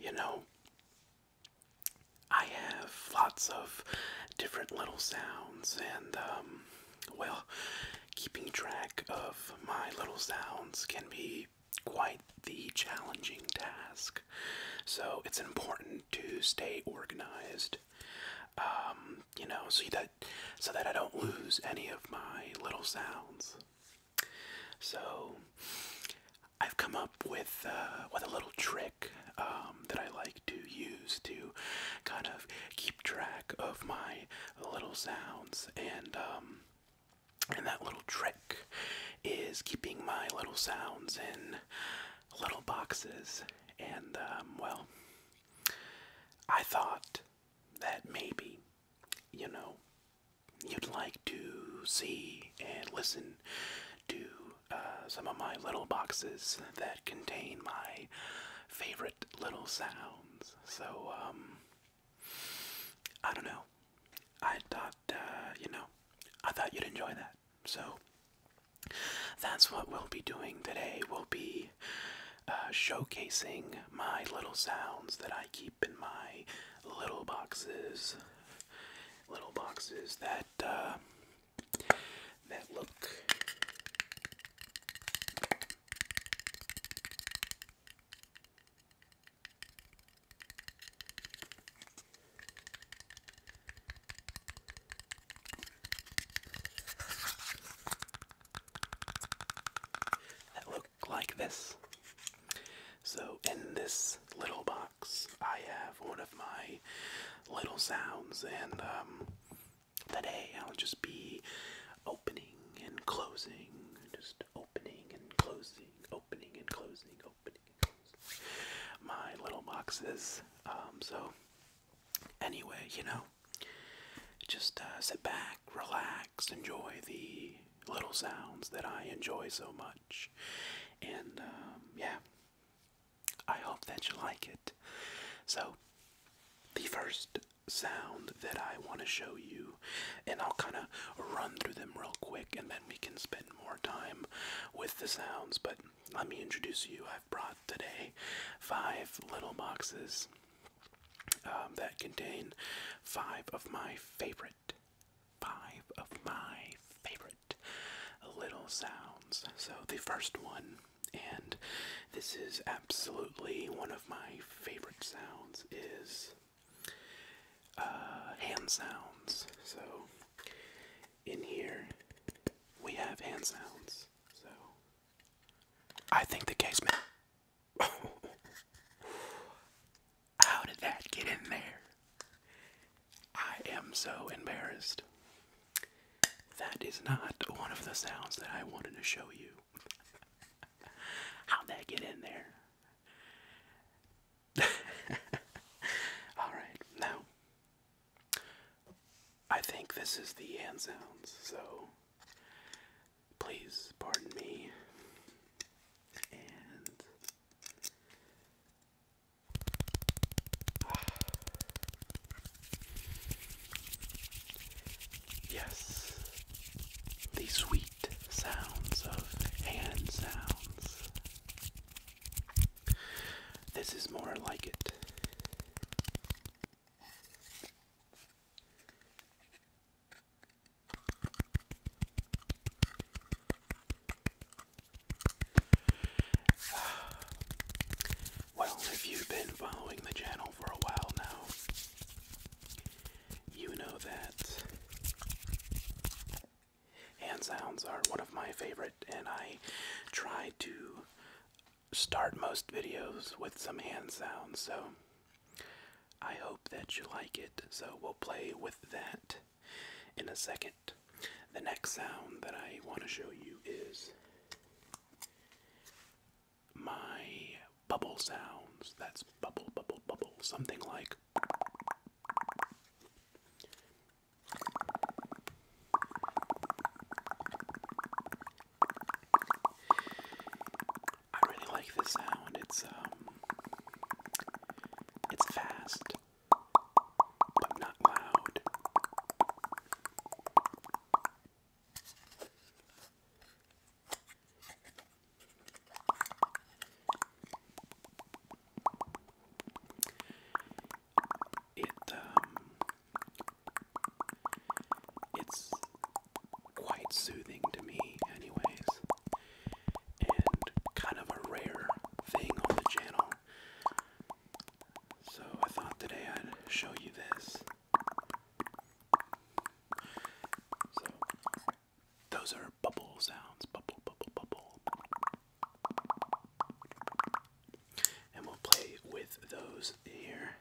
You know, I have lots of different little sounds, and um, well, keeping track of my little sounds can be quite the challenging task. So it's important to stay organized. Um, you know, so that so that I don't lose any of my little sounds. So I've come up with uh, with a little trick um, that I like to use to kind of keep track of my little sounds, and um, and that little trick is keeping my little sounds in little boxes. And um, well, I thought that maybe, you know, you'd like to see and listen to uh, some of my little boxes that contain my favorite little sounds. So, um, I don't know. I thought, uh, you know, I thought you'd enjoy that. So, that's what we'll be doing today. We'll be uh, showcasing my little sounds that I keep in my little boxes little boxes that uh, that look that look like this. So, in this little box, I have one of my little sounds, and um, today I'll just be opening and closing, just opening and closing, opening and closing, opening and closing my little boxes. Um, so, anyway, you know, just uh, sit back, relax, enjoy the little sounds that I enjoy so much. And um, yeah, I hope that you like it. So, the first sound that I want to show you, and I'll kind of run through them real quick and then we can spend more time with the sounds. But let me introduce you. I've brought today five little boxes um, that contain five of my favorite five of my favorite little sounds. So the first one, and this is absolutely one of my favorite sounds, is uh, hand sounds. So in here we have hand sounds. So I think the case How did that get in there? I am so embarrassed. That is not one of the sounds that I wanted to show you. how did that get in there? Alright, now I think this is the end sounds, so please pardon me. And Yes, the sweet sounds of hand sounds. This is more like it. Well, if you've been following the channel for a while now, you know that hand sounds are one of my favorite, and I try to start most videos with some hand sounds, so I hope that you like it. So we'll play with that in a second. The next sound that I want to show you is my bubble sounds. That's bubble, bubble, bubble. Something like. I really like this sound. It's um it's fast, but not loud. It um, it's quite soothing to me anyways and kind of a rare thing on the channel. So I thought today I'd show you this. So those are bubble sounds. Bubble, bubble, bubble. And we'll play with those here.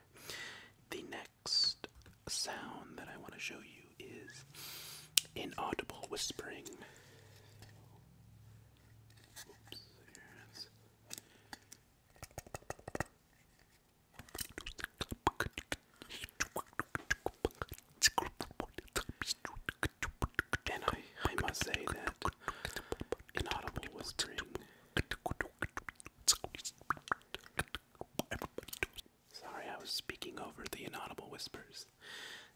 The next sound that I want to show you is inaudible whispering. And I, I must say that inaudible whispering Sorry, I was speaking over the inaudible whispers.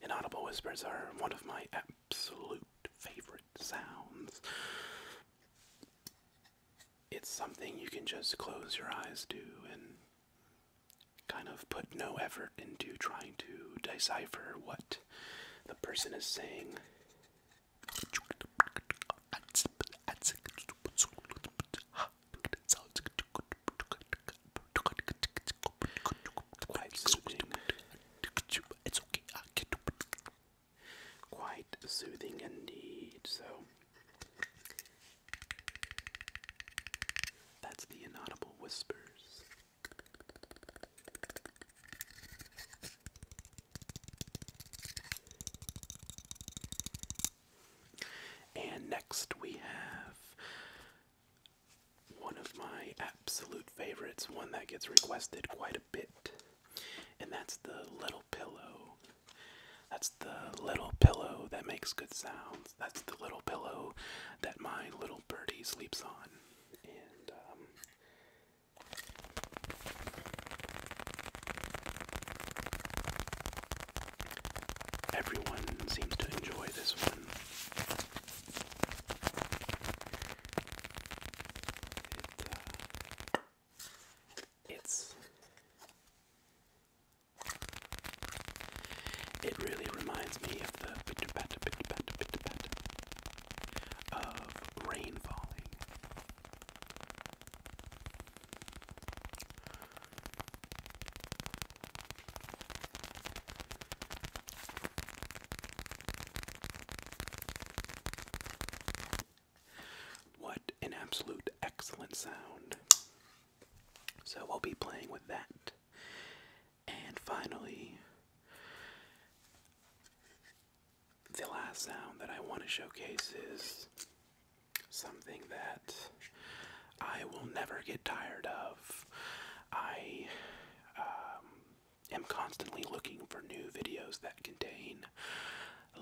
Inaudible whispers are one of my absolute favorite sounds. It's something you can just close your eyes to and kind of put no effort into trying to decipher what the person is saying. Quite soothing. indeed. So that's the inaudible whispers. And next we have one of my absolute favorites, one that gets requested quite a bit, and that's the little pillow. That's the little pillow that makes good sounds. That's the little pillow that my little birdie sleeps on. And, um, everyone seems to enjoy this one. It, uh, it really reminds me of the pitter patter, pitter patter, pitter patter of rain falling. What an absolute excellent sound. So we'll be playing with that. And finally, the last sound that I want to showcase is something that I will never get tired of. I um, am constantly looking for new videos that contain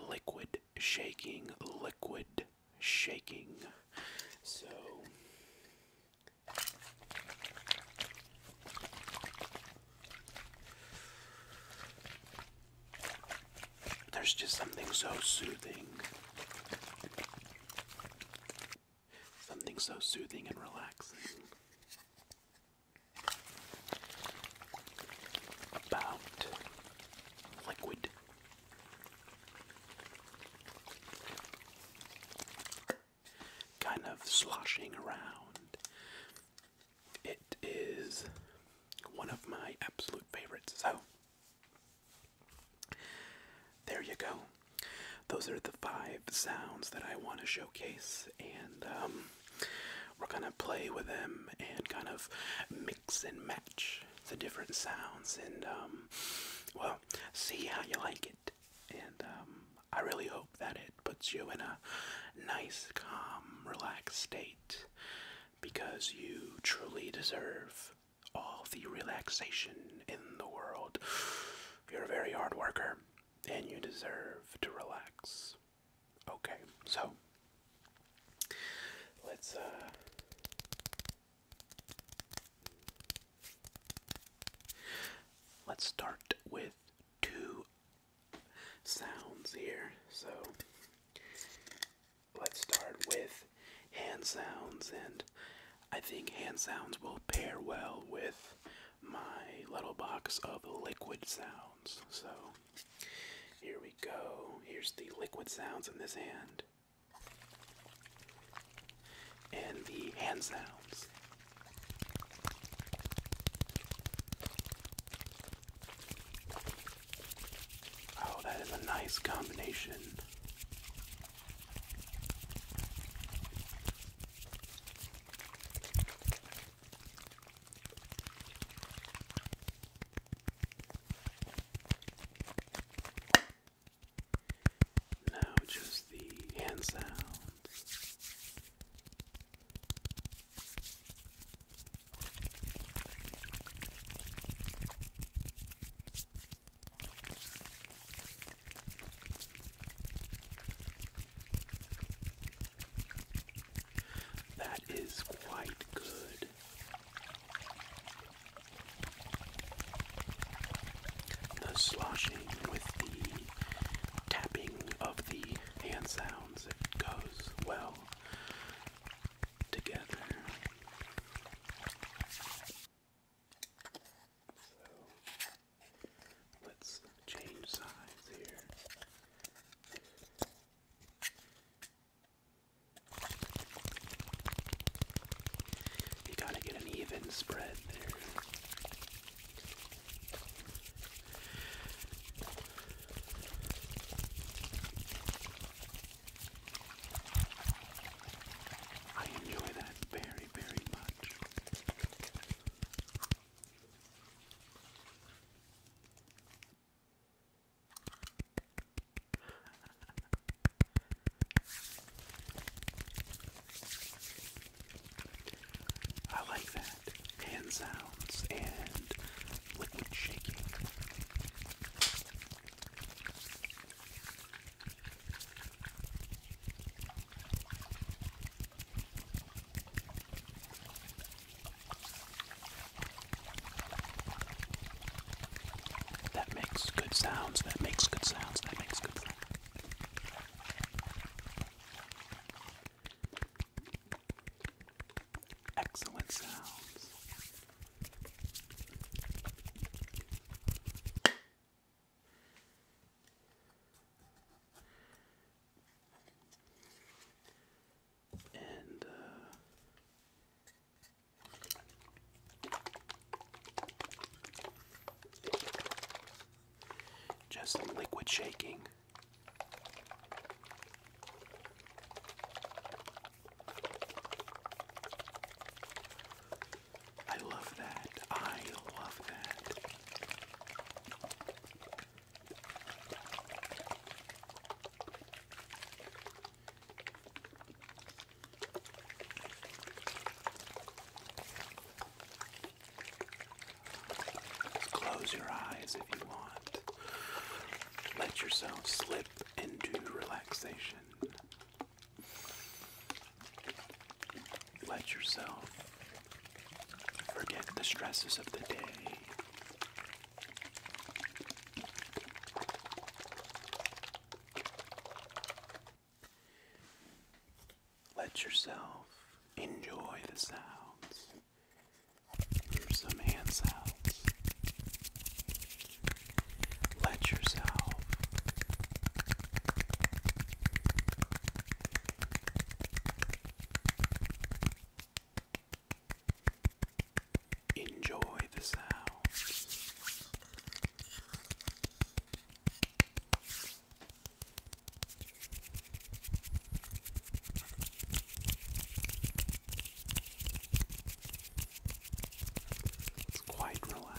liquid shaking, liquid shaking. So. There's just something so soothing Something so soothing and relaxing about liquid. Kind of sloshing around. It is one of my absolute favorites. So, there you go. Those are the five sounds that I want to showcase, and um, we're gonna play with them and kind of mix and match the different sounds, and um, well, see how you like it. And um, I really hope that it puts you in a nice, calm, relaxed state because you truly deserve all the relaxation in the world. You're a very hard worker and you deserve to relax. Okay, so let's uh, let's start with two sounds here. So let's start with hand sounds and I think hand sounds will pair well with my little box of liquid sounds. So here we go. Here's the liquid sounds in this hand. And the hand sounds. Oh, that is a nice combination. Now, just the hand sounds. That is quite good. The sloshing with the tapping of the hand sounds, it goes well together. So let's change sides here. You gotta get an even spread there. I enjoy that very very, very I like that. Hand sounds and liquid shaking. That makes good sounds, that makes good sounds, that makes good sounds. Excellent sounds. And uh, just liquid shaking. I love that. I love that. close your eyes if you want. Let yourself slip into relaxation. Let yourself forget the stresses of the day. Let yourself enjoy the sounds. Here's some hand sounds. Let yourself Enjoy the sound. It's quite relaxing.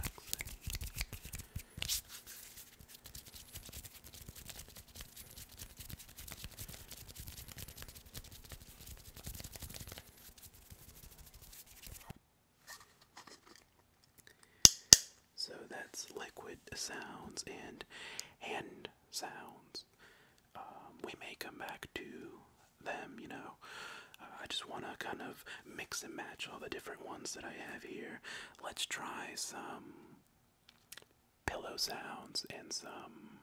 So that's liquid sounds and hand sounds. Um, we may come back to them, you know. Uh, I just want to kind of mix and match all the different ones that I have here Let's try some pillow sounds and some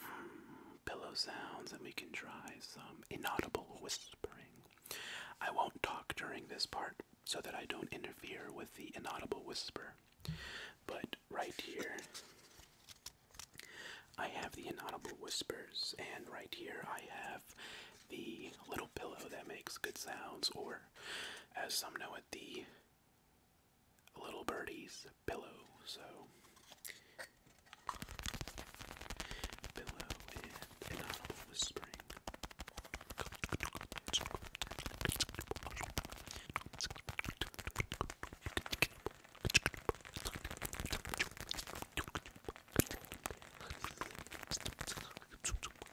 hmm, pillow sounds, and we can try some inaudible whispering. I won't talk during this part so that I don't interfere with the inaudible whisper, but right here. I have the inaudible whispers, and right here I have the little pillow that makes good sounds, or as some know it, the little birdie's pillow. So, pillow and inaudible whispering.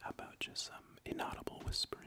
How about just some inaudible whispering?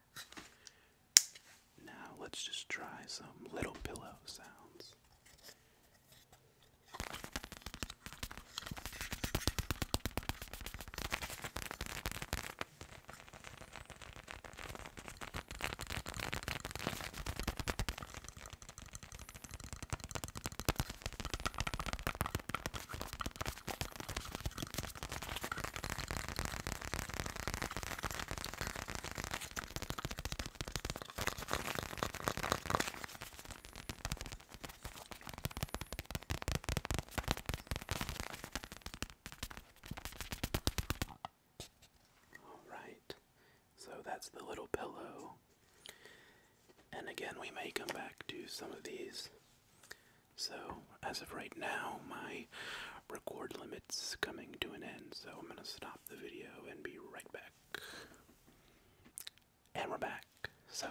Now let's just try some little pillow sounds. All right. So that's the little pillow. And again, we may come back to some of these so, as of right now, my record limit's coming to an end, so I'm gonna stop the video and be right back. And we're back. So,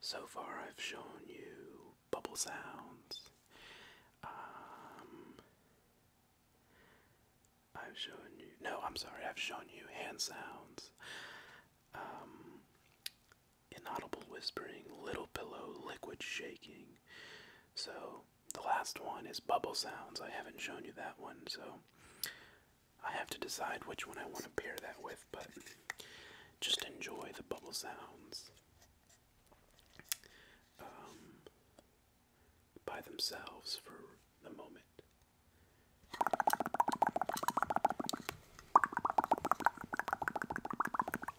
so far I've shown you bubble sounds. Um, I've shown you. No, I'm sorry. I've shown you hand sounds. Um, inaudible whispering, little pillow, liquid shaking. So the last one is bubble sounds. I haven't shown you that one, so I have to decide which one I want to pair that with, but just enjoy the bubble sounds um, by themselves for the moment.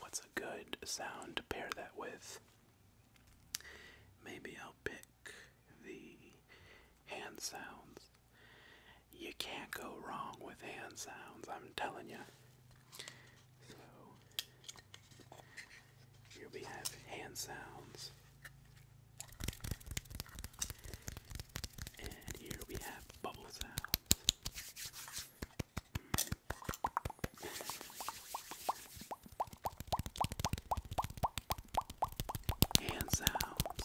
What's a good sound to pair that with? Maybe I'll pick the hand sounds. You can't go wrong with hand sounds, I'm telling you. So, here we have hand sounds. And here we have bubble sounds. Hand sounds,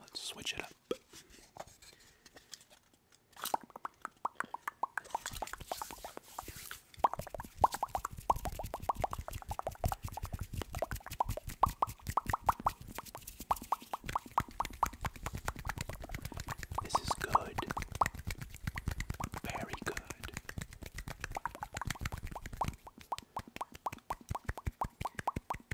Let's switch it up. This is good. Very good.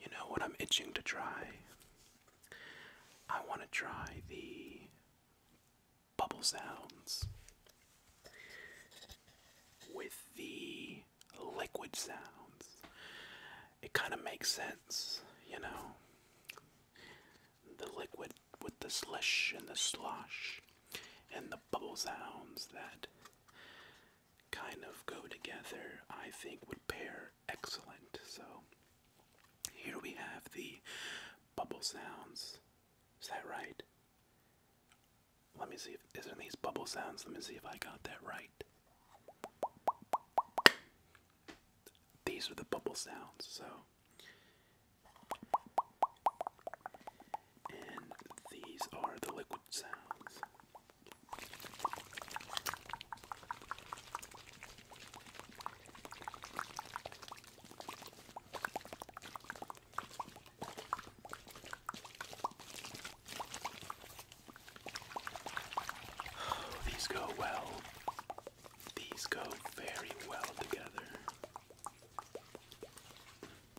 You know what I'm itching to try? I want to try the bubble sounds with the liquid sounds. It kind of makes sense, you know? The liquid with the slush and the slosh and the bubble sounds that kind of go together, I think would pair excellent. So here we have the bubble sounds. Is that right? Let me see if isn't these bubble sounds. Let me see if I got that right. These are the bubble sounds, so and these are the liquid sounds. these go well. These go very well together. Excellent,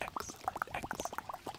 excellent, excellent.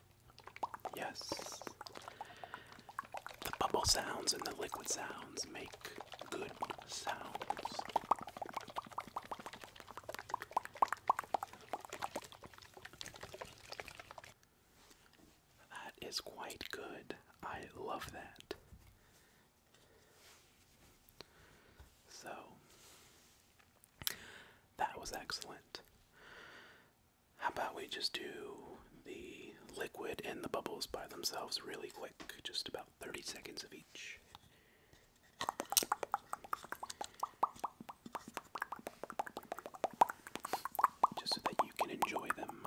Yes. The bubble sounds and the liquid sounds make good sounds. That is quite good. I love that. So, that was excellent. How about we just do the liquid and the bubbles by themselves really quick, just about 30 seconds of each. Just so that you can enjoy them.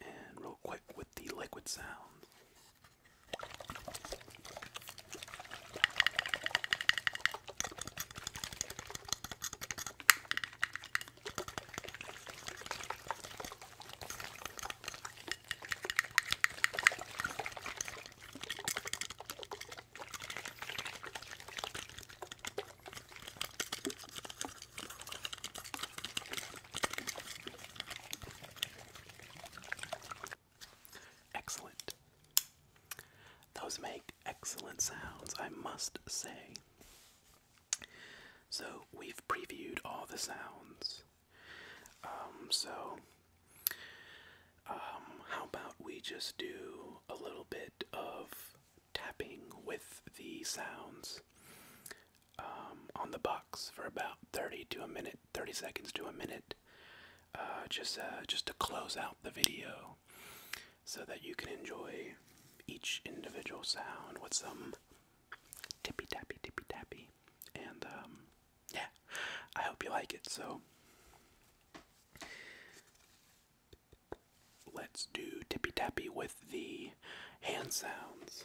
And real quick with the liquid sound. Excellent. Those make excellent sounds, I must say. So, we've previewed all the sounds. Um, so, um, how about we just do a little bit of tapping with the sounds um, on the box for about 30 to a minute, 30 seconds to a minute, uh, just uh, just to close out the video, so that you can enjoy each individual sound with some tippy tappy tippy tappy, and um, yeah, I hope you like it. So Let's do tippy tappy with the hand sounds.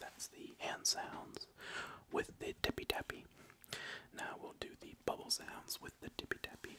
That's the hand sounds with the tippy tappy. Now we'll do the bubble sounds with the tippy tappy.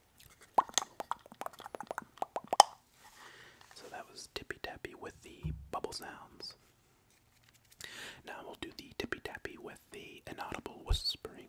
So that was Tippy Tappy with the bubble sounds. Now we'll do the Tippy Tappy with the inaudible whispering.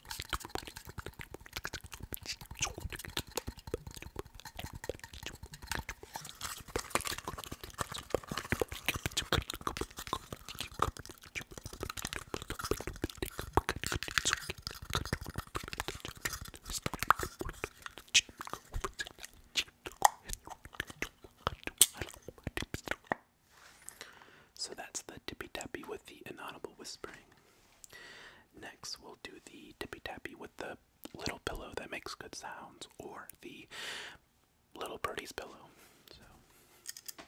So that's the tippy tappy with the inaudible whispering. Next, we'll do the tippy tappy with the little pillow that makes good sounds, or the little birdie's pillow. So.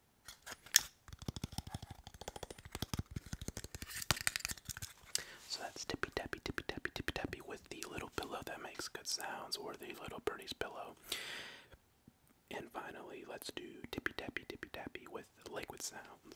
So that's tippy tappy, tippy tappy, tippy tappy with the little pillow that makes good sounds, or the little birdie's pillow. And finally, let's do tippy tappy, tippy tappy with liquid sounds.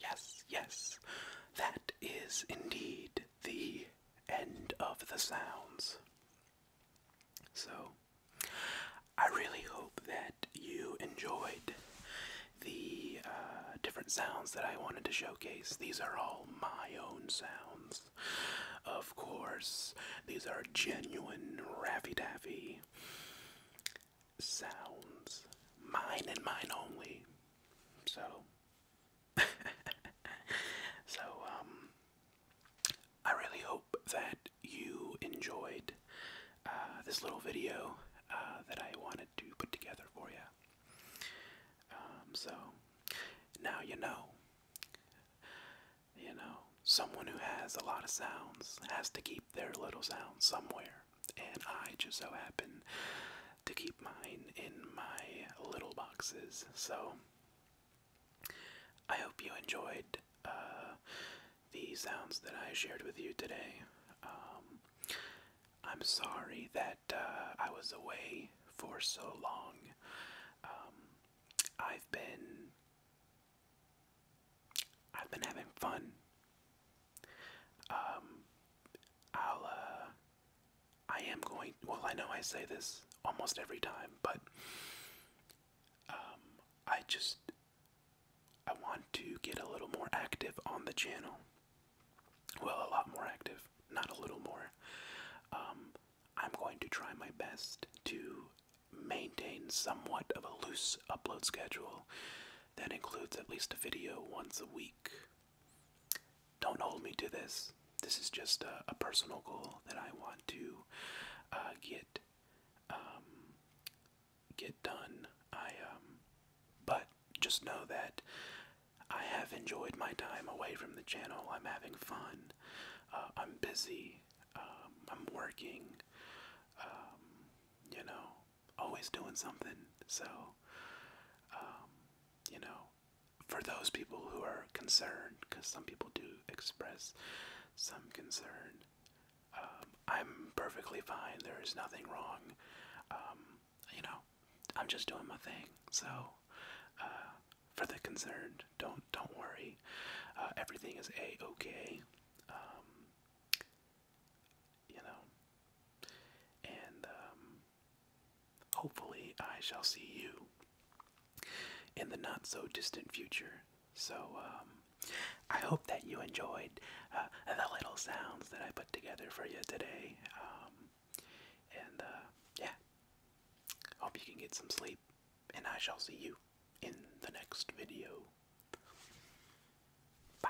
Yes, yes. That is indeed the end of the sounds. So, I really hope that you enjoyed the uh, different sounds that I wanted to showcase. These are all my own sounds. Of course, these are genuine Raffy Daffy sounds. Mine and mine only. So, so um, I really hope that you enjoyed uh, this little video uh, that I wanted to put together for you. Um, so now you know. You know, someone who has a lot of sounds has to keep their little sounds somewhere, and I just so happen to keep mine in my little boxes. So I hope you enjoyed uh, the sounds that I shared with you today. Um, I'm sorry that uh, I was away for so long. Um, I've been I've been having fun. Um, I'll uh, I am going. Well, I know I say this almost every time, but um, I just I want to get a little more active on the channel. Well, a lot more active, not a little more. Um, I'm going to try my best to maintain somewhat of a loose upload schedule that includes at least a video once a week. Don't hold me to this. This is just a, personal goal that I want to uh, get um, get done. I um, but just know that I have enjoyed my time away from the channel. I'm having fun. Uh, I'm busy. Um, I'm working. Um, you know, always doing something. So, um, you know, for those people who are concerned, because some people do express some concern, um, I'm perfectly fine. There is nothing wrong. Um, you know, I'm just doing my thing. So, uh, for the concerned, don't don't worry. Uh, everything is a okay. you know, and Hopefully, I shall see you in the not so distant future. So, um, I hope that you enjoyed uh, the little sounds that I put together for you today. Um, and, uh, yeah, hope you can get some sleep, and I shall see you in the next video. Bye.